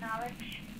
Acknowledge.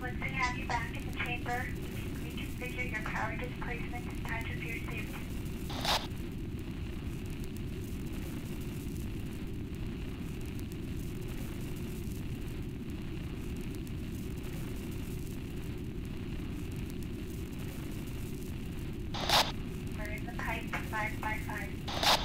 Once we have you back in the chamber, you can reconfigure your power displacement and touch of your suit. We're in the pipe 5 by 5.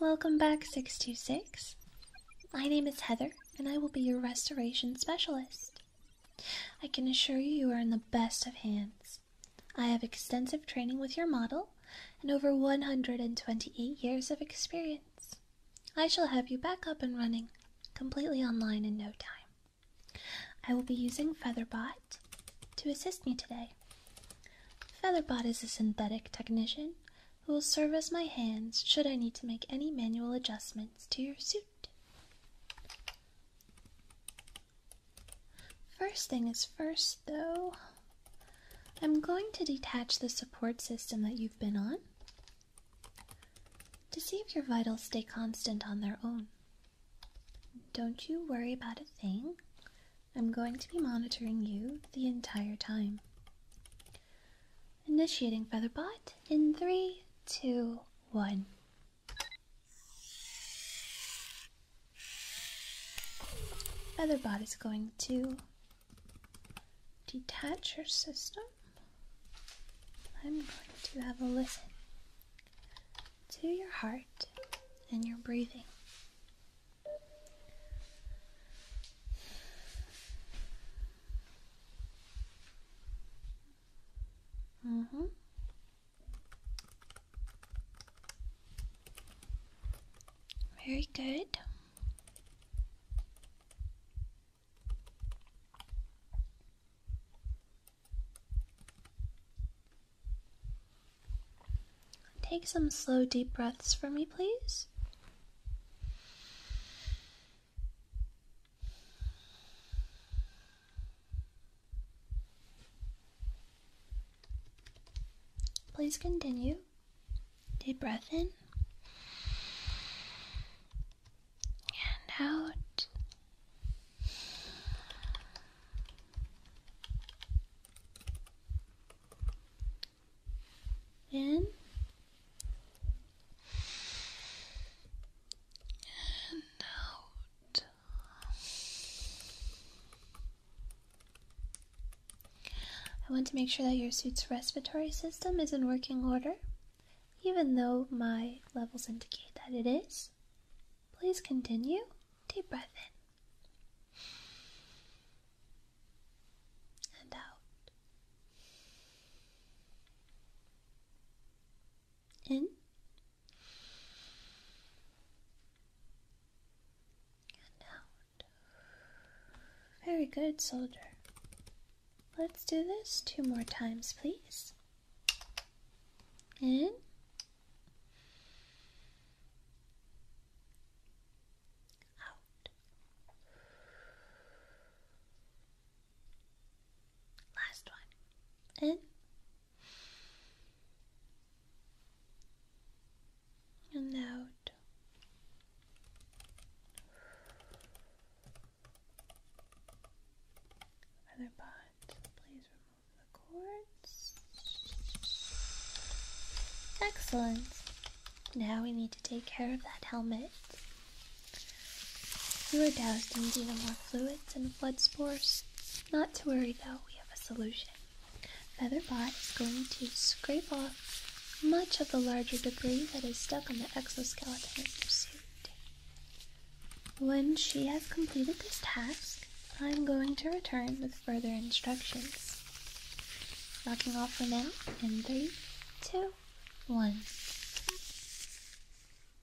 Welcome back, 626. My name is Heather, and I will be your restoration specialist. I can assure you you are in the best of hands. I have extensive training with your model and over 128 years of experience. I shall have you back up and running completely online in no time. I will be using Featherbot to assist me today. Featherbot is a synthetic technician who will serve as my hands should I need to make any manual adjustments to your suit. First thing is first, though, I'm going to detach the support system that you've been on to see if your vitals stay constant on their own. Don't you worry about a thing. I'm going to be monitoring you the entire time. Initiating Featherbot in three, two, one. Featherbot is going to detach your system. I'm going to have a listen to your heart and your breathing. Mm hmm Very good. Take some slow, deep breaths for me, please. Please continue. Deep breath in and out. In I want to make sure that your suit's respiratory system is in working order, even though my levels indicate that it is. Please continue. Deep breath in and out in and out. Very good, soldier. Let's do this two more times, please. In out. Last one. In. And out. Other pot. Please remove the cords. Excellent. Now we need to take care of that helmet. We are doused in more fluids and flood spores. Not to worry though, we have a solution. Featherbot is going to scrape off much of the larger debris that is stuck on the exoskeleton of your suit. When she has completed this task, I'm going to return with further instructions. Knocking off for now in three, two, one.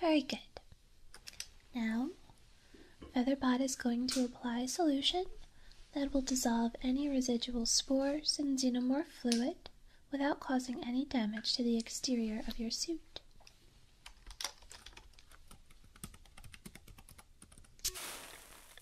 Very good. Now, Featherbot is going to apply a solution that will dissolve any residual spores in xenomorph fluid without causing any damage to the exterior of your suit.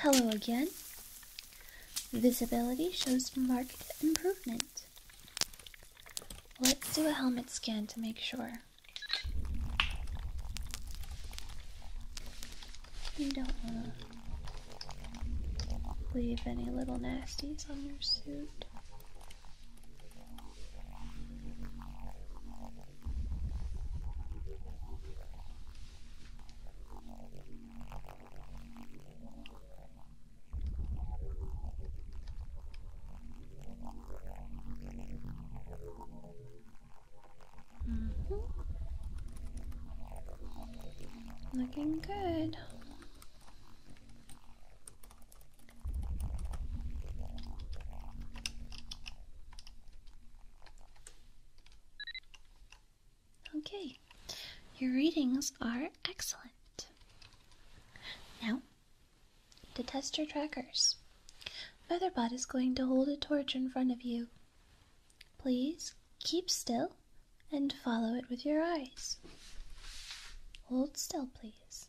Hello again. Visibility shows marked improvement. Let's do a helmet scan to make sure. You don't want Leave any little nasties on your suit. -hmm. Looking good. Okay, your readings are excellent. Now, to test your trackers, Featherbot is going to hold a torch in front of you. Please keep still and follow it with your eyes. Hold still, please.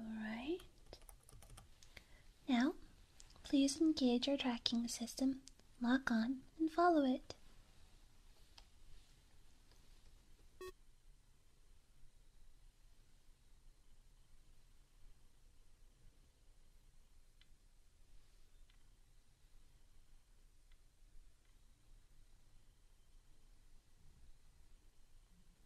Alright. Now, please engage your tracking system, lock on, and follow it.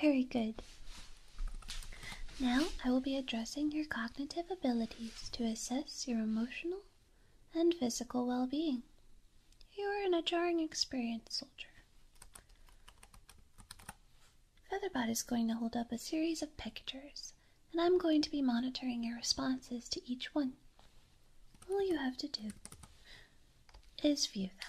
Very good. Now I will be addressing your cognitive abilities to assess your emotional and physical well being. You are in a jarring experience, soldier. Featherbot is going to hold up a series of pictures, and I'm going to be monitoring your responses to each one. All you have to do is view them.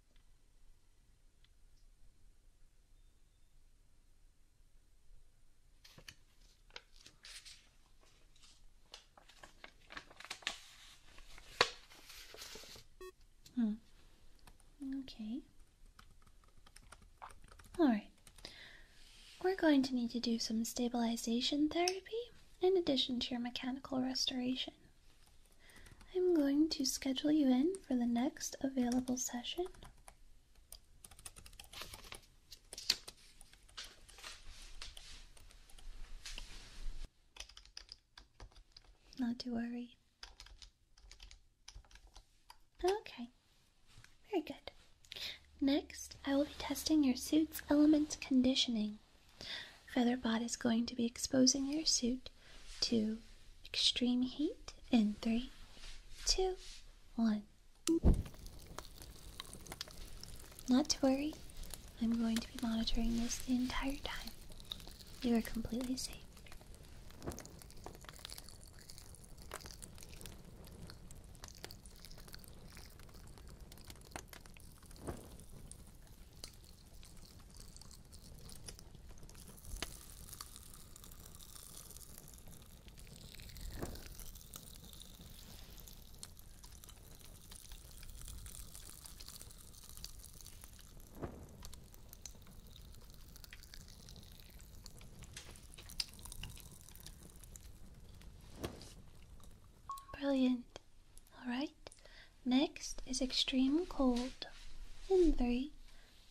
Hmm. Okay. Alright. We're going to need to do some stabilization therapy in addition to your mechanical restoration. I'm going to schedule you in for the next available session. Not to worry. Okay, very good. Next, I will be testing your suit's element conditioning. Featherbot is going to be exposing your suit to extreme heat in three, two, one. Not to worry, I'm going to be monitoring this the entire time. You are completely safe. Brilliant. Alright, next is extreme cold. In three,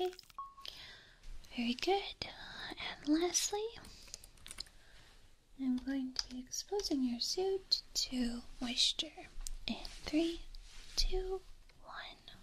Okay, very good. And lastly, I'm going to be exposing your suit to moisture in three, two, one.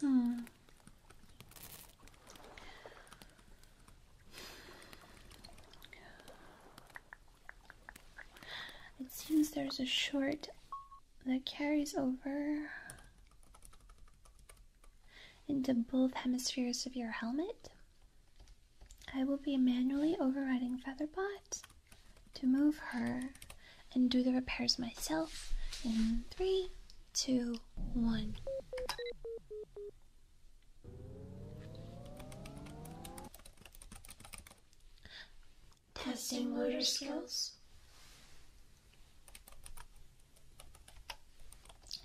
Hmm. It seems there's a short that carries over into both hemispheres of your helmet. I will be manually overriding Featherbot to move her and do the repairs myself in three, two, one. Testing motor skills.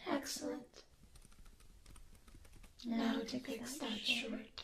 Excellent. Now to fix that short.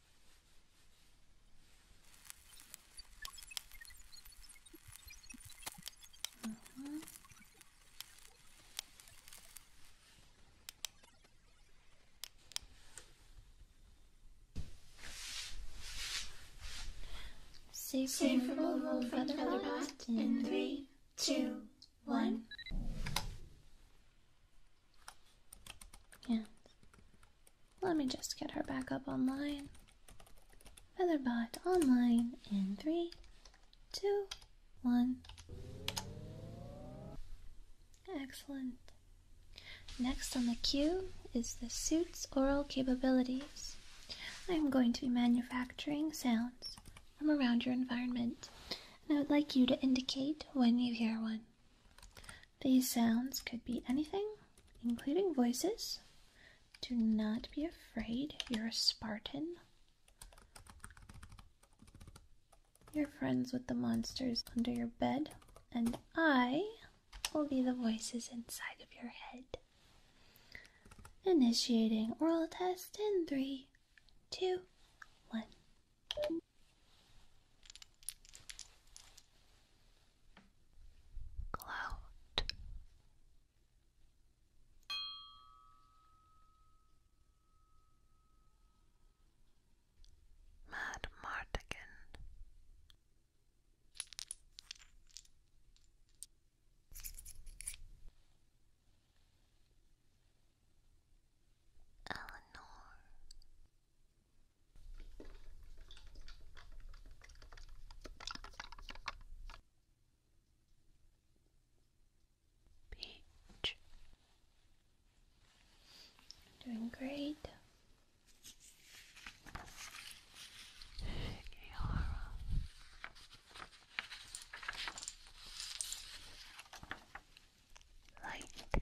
Uh -huh. Safe, Safe roll in three, two, one. Yeah. Let me just get her back up online. Featherbot online in three, two, one. Excellent. Next on the queue is the suit's oral capabilities. I am going to be manufacturing sounds from around your environment, and I would like you to indicate when you hear one. These sounds could be anything, including voices. Do not be afraid, you're a Spartan. You're friends with the monsters under your bed, and I will be the voices inside of your head. Initiating oral test in three, two, one. Gloat. Mad Eleanor Peach. Doing great. Light.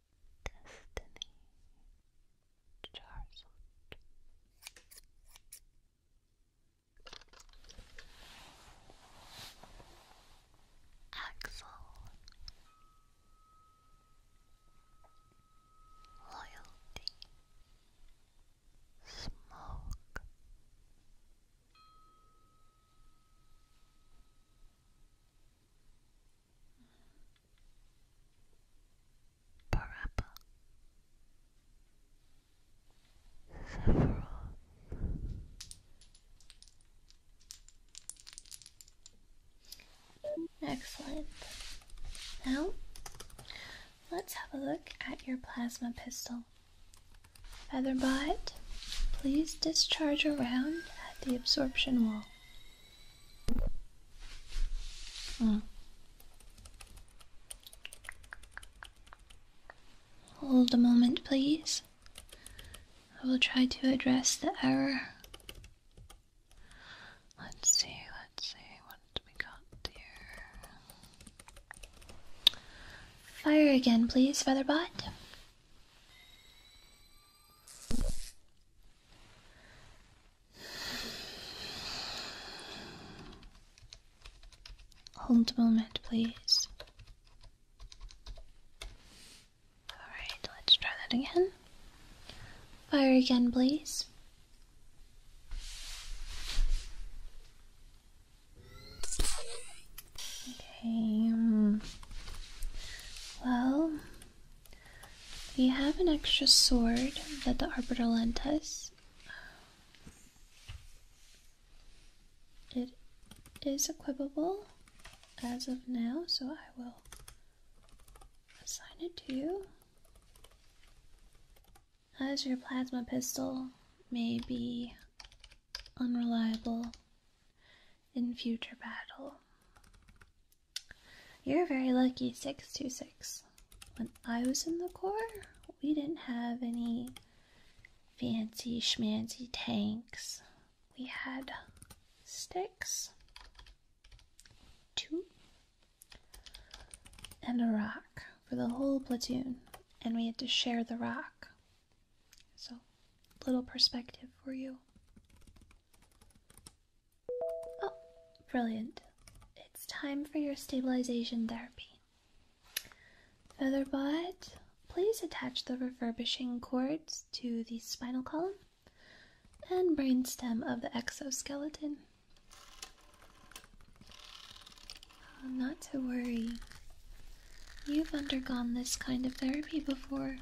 Destiny Charizard. Axel Loyalty Smoke Parappa Sephiroth Excellent. Now, let's have a look at your plasma pistol. Featherbot, please discharge a round the absorption wall. Hmm. Hold a moment, please. I will try to address the error. Let's see, let's see what we got here. Fire again, please, Featherbot. Hold a moment, please. Alright, let's try that again. Fire again, please. Okay, um, well, we have an extra sword that the Arbiter lent us. It is equipable as of now, so I will assign it to you. As your plasma pistol may be unreliable in future battle. You're very lucky, 626. When I was in the Corps, we didn't have any fancy schmancy tanks. We had sticks, two, and a rock for the whole platoon, and we had to share the rock. So, little perspective for you. Oh, brilliant. It's time for your stabilization therapy. Featherbot, please attach the refurbishing cords to the spinal column and brainstem of the exoskeleton. Uh, not to worry. You've undergone this kind of therapy before.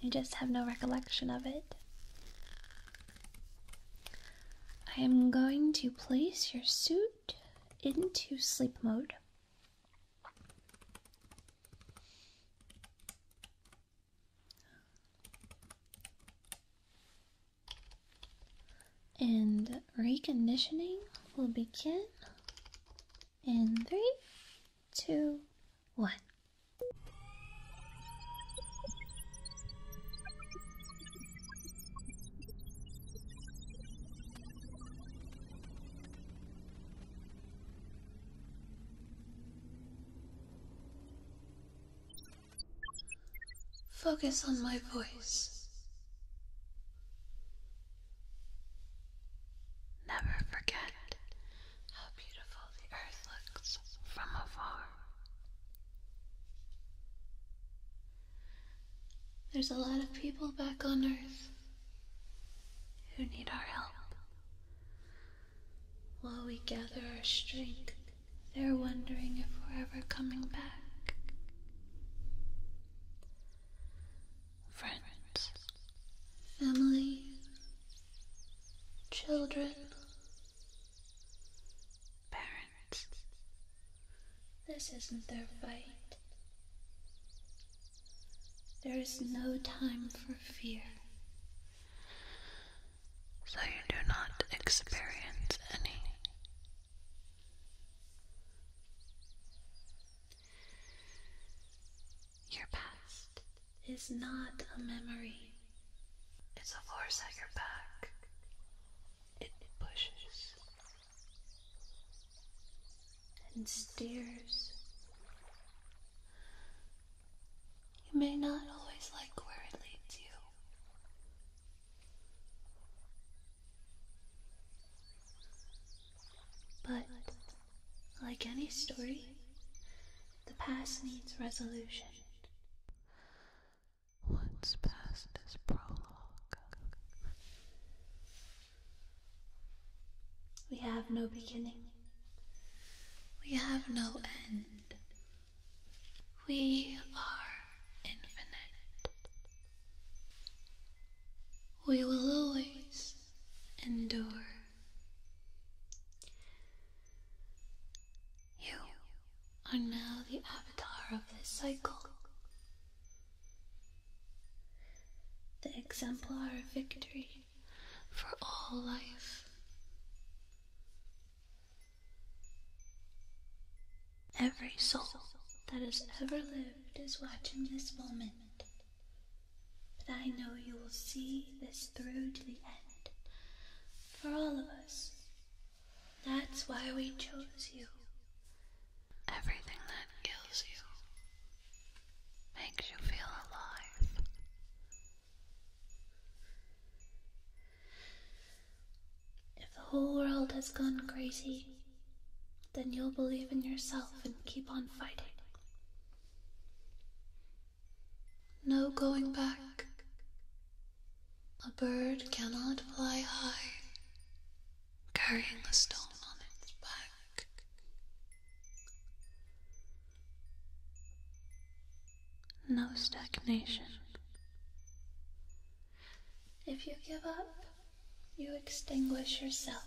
You just have no recollection of it. I am going to place your suit into sleep mode. And reconditioning will begin in three, two, one. Focus on my voice. Never forget how beautiful the earth looks from afar. There's a lot of people back on earth who need our help. While we gather our strength, they're wondering if we're ever coming back friends, family, children, parents. This isn't their fight. There is no time for fear. So you do not experience any. Your past is not a memory, it's a force at your back. It pushes and steers. You may not always like where it leads you. But like any story, the past needs resolution. What's past is prologue. We have no beginning. We have no end. We are infinite. We will always endure. You are now the avatar of this cycle, the exemplar of victory for all life. Every soul that has ever lived is watching this moment but I know you will see this through to the end for all of us. That's why we chose you. Everything that kills you makes you feel alive. If the whole world has gone crazy, then you'll believe in yourself and keep on fighting. No going back. A bird cannot fly high, carrying a stone on its back. No stagnation. If you give up, you extinguish yourself.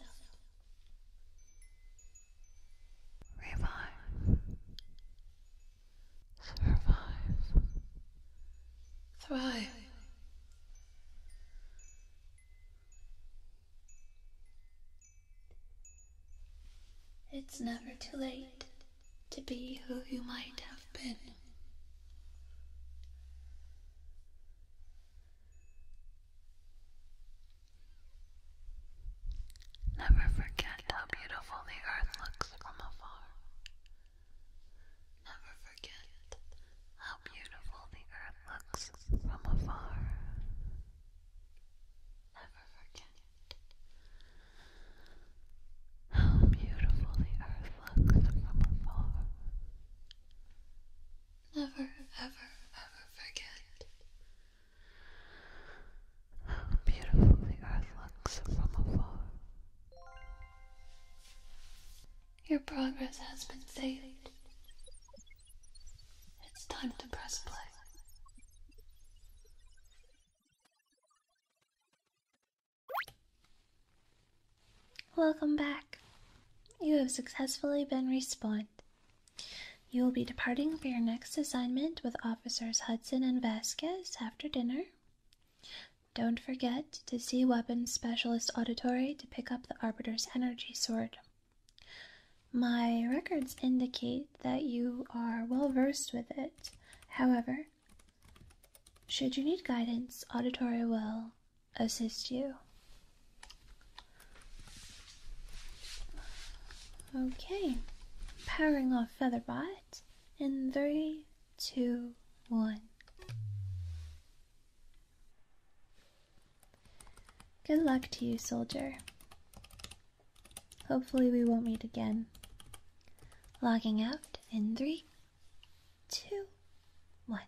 Revive. Survive. Thrive. It's never too late to be who you might have been. Never forget how beautiful the earth looks from afar. Never forget how beautiful the earth looks from afar. Never forget how beautiful the earth looks from afar never, ever, ever forget how beautiful the earth looks from afar. Your progress has been saved. It's time to press play. Welcome back. You have successfully been respawned. You will be departing for your next assignment with Officers Hudson and Vasquez after dinner. Don't forget to see Weapons Specialist Auditory to pick up the Arbiter's Energy Sword. My records indicate that you are well versed with it. However, should you need guidance, Auditory will assist you. Okay, powering off Featherbot in three, two, one. Good luck to you, soldier. Hopefully, we won't meet again. Logging out in three, two, one.